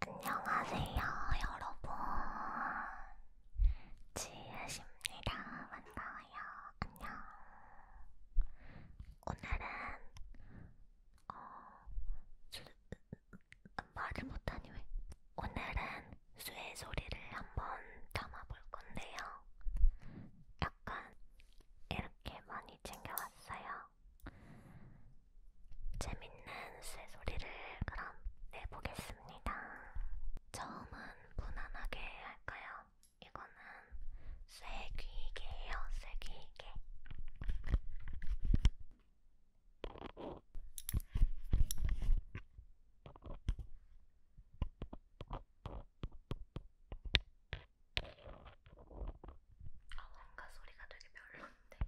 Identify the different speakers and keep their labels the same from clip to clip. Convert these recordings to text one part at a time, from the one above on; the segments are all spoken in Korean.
Speaker 1: 안녕하세요, 여러분. 지읒입니다. 만나요. 안녕. 오늘은 어, 수, 말을 못하니 왜? 오늘은 수의 소리를 한번 담아볼 건데요. 약간 이렇게 많이 챙겨왔어요. 재밌는 새소리를 그럼 내보겠습니다. 처음은 무난하게 할까요? 이거는 쇠귀개예요, 쇠귀개. 어, 뭔가 소리가 되게 별론데.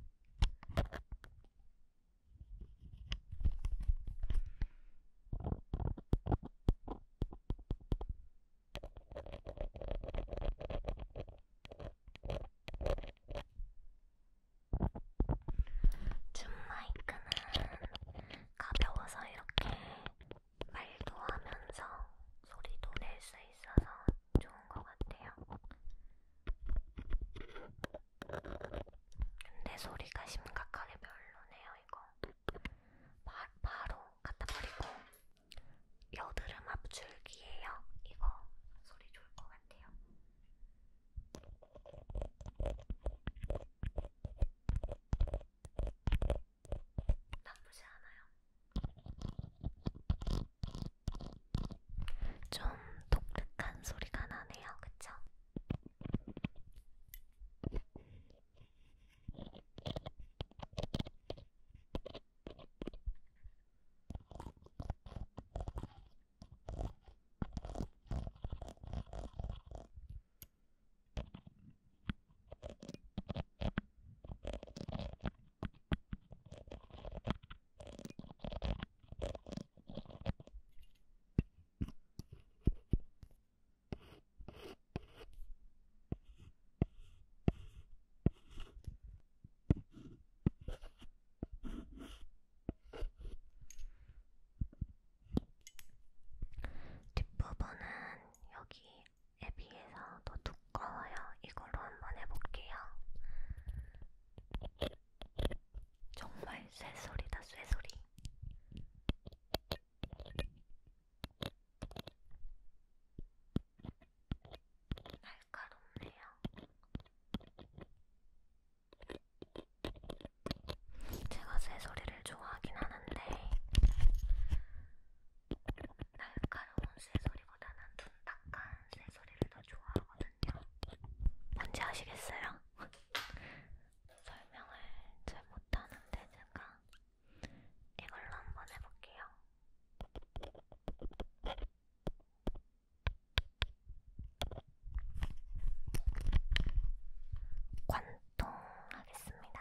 Speaker 1: 줌마이크는 가벼워서 이렇게 말도 하면서 소리도 낼 수 있어서 좋은 것 같아요. 근데 소리가 심각하게 별로네요, 이거. 바, 바로 갖다 버리고. 여드름 압출기예요. 이거 소리 좋을 것 같아요. 나쁘지 않아요. 좀 독특한 소리가 나네요, 그쵸? 뒷부분은 여기 에 비해서 더툭 가까워요. 이걸로 한번 해볼게요. 정말 쇠소리다, 쇠소리. 날카롭네요. 제가 새소리를 좋아하긴 하는데 날카로운 새소리보다 소리보다는 둔탁한 새 소리를 더 좋아하거든요. 뭔지 아시겠어요? 설명을 잘 못하는데 제가 이걸로 한번 해볼게요. 관통 하겠습니다.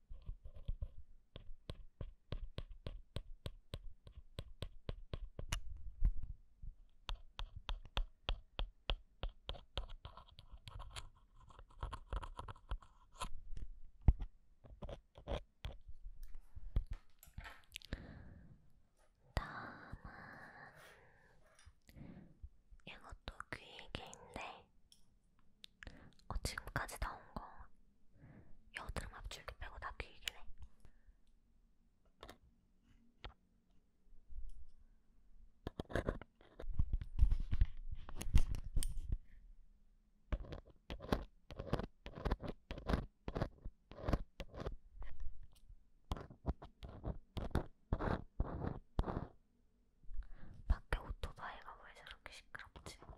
Speaker 1: 다음은 이것도 귀이개인데 어, 지금까지 나온 거 여드름 앞줄기 빼고 다 귀이긴 해. 밖에 오토바이가 왜 저렇게 시끄럽지?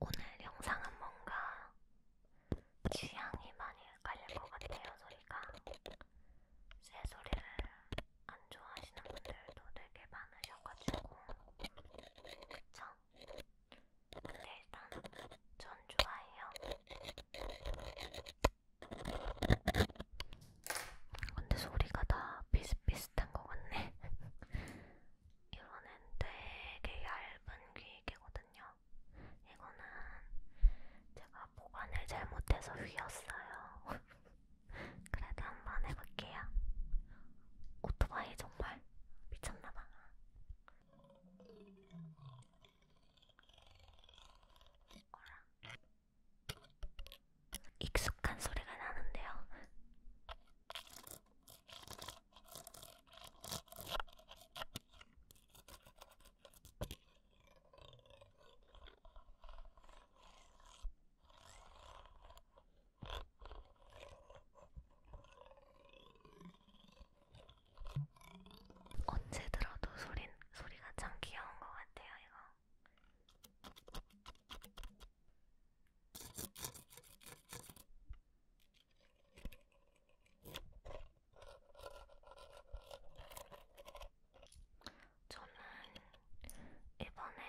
Speaker 1: 오늘 영상은 뭔가 취향이 많이 갈릴 것 같아요, 소리가. 새 소리를 안 좋아하시는 분들도 되게 많으셔가지고. 그쵸? 근데 일단 전 좋아해요. 근데 소리가 다 비슷비슷한 것 같네. 이번엔 되게 얇은 귀이거든요. 이거는 제가 보관을 잘못해서 휘었어요. 그래도 한번 해볼게요. 오토바이 정말 미쳤나봐. 어라. 익숙한 소리가 나는데요. 언제 들어도 소린, 소리가 참 귀여운 것 같아요, 이거. 저는 이번에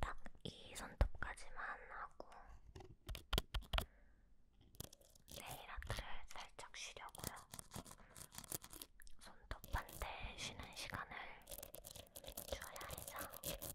Speaker 1: 딱 이 손톱까지만 하고 네일 아트를 살짝 쉬려고요. 손 덮반대 쉬는 시간을 줘야 해서 좀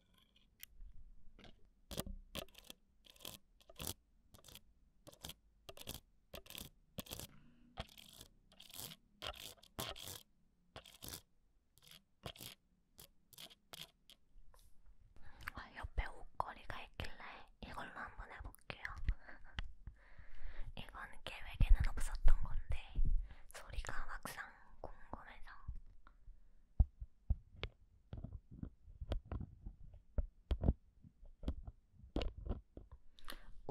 Speaker 1: 아, 옆에 옷걸이가 있길래 이걸로 한번 해볼게요. 이건 계획에는 없었던 건데 소리가 막상 궁금해서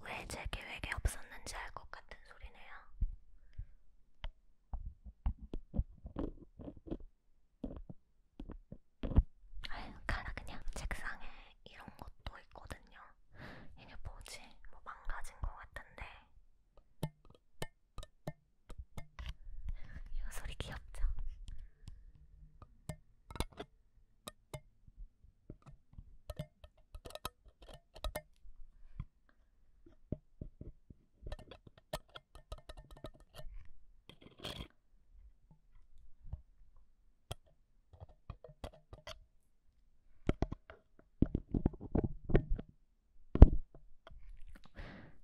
Speaker 1: 왜제 계획에 없었는지 알 것 같은 소리네요. 아유, 가라 그냥. 책상에 이런 것도 있거든요. 이게 뭐지? 뭐 망가진 것 같은데. 이거 소리 귀엽죠?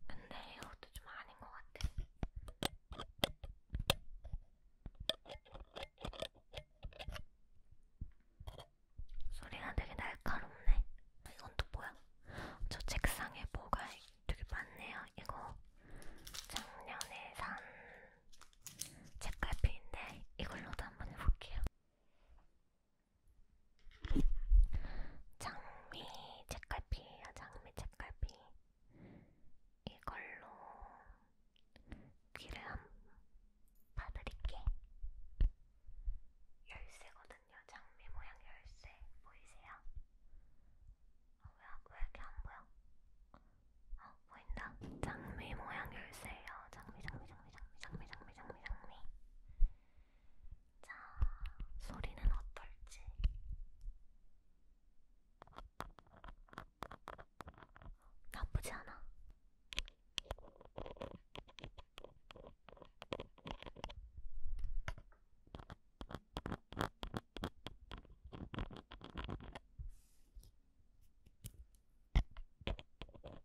Speaker 1: 근데 이것도 좀 아닌 것 같아. 소리가 되게 날카롭네. 아, 이건 또 뭐야? 저 책상에 뭐가 되게 많네요. 이거 작년에 산 책갈피인데 이걸로도 한번 해볼게요. 장미 책갈피야 아, 장미 책갈피 이걸로 귀를 한번 봐드릴게 열쇠거든요 장미 모양 열쇠 보이세요? 어, 왜, 왜 이렇게 안 보여? 어 보인다 장미 모양 열쇠예요 장미 장미 장미 장미 장미 장미 장미 장미 장미 자, 소리는 어떨지. 나쁘지 않아.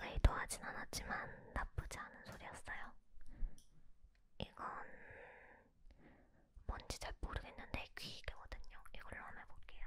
Speaker 1: 의도하진 않았지만 나쁘지 않은 소리였어요. 이건 뭔지 잘 모르겠는데 귀이거든요. 이걸로 한번 해볼게요.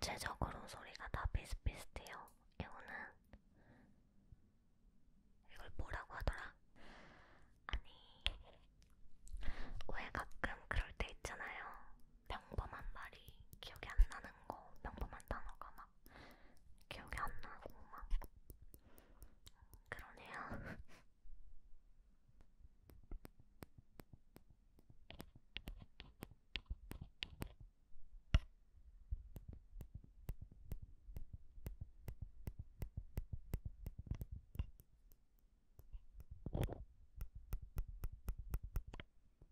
Speaker 1: 전체적으로 소리가 다 비슷비슷해요. 이거는 이걸 뭐라고 하더라? 아니 왜 가끔 그럴 때 있잖아요. 평범한 말이 기억이 안 나는 거, 평범한 단어가 막막 기억이 안 나고 막 그러네요.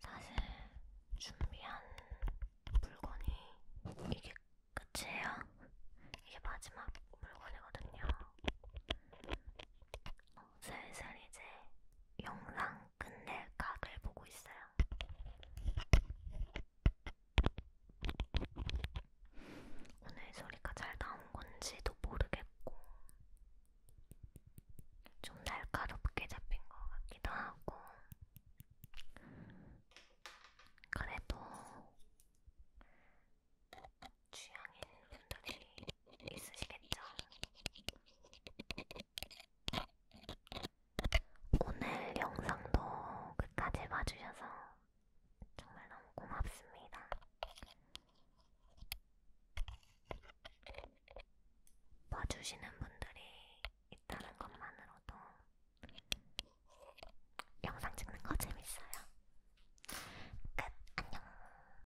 Speaker 1: 사실 준비한 물건이 이게 끝이에요. 이게 마지막 물건이거든요. 슬슬 이제 영상 끝낼 각을 보고 있어요. 오늘 소리가 잘 나온 건지도 모르겠고, 좀 날카롭게 잡힌 것 같기도 하고, 그래도 취향인 분들이 있으시겠죠? 오늘 영상도 끝까지 봐주셔서 정말 너무 고맙습니다. 봐주시는 분들이 있다는 것만으로도 영상 찍는 거 재밌어요. 끝! 안녕!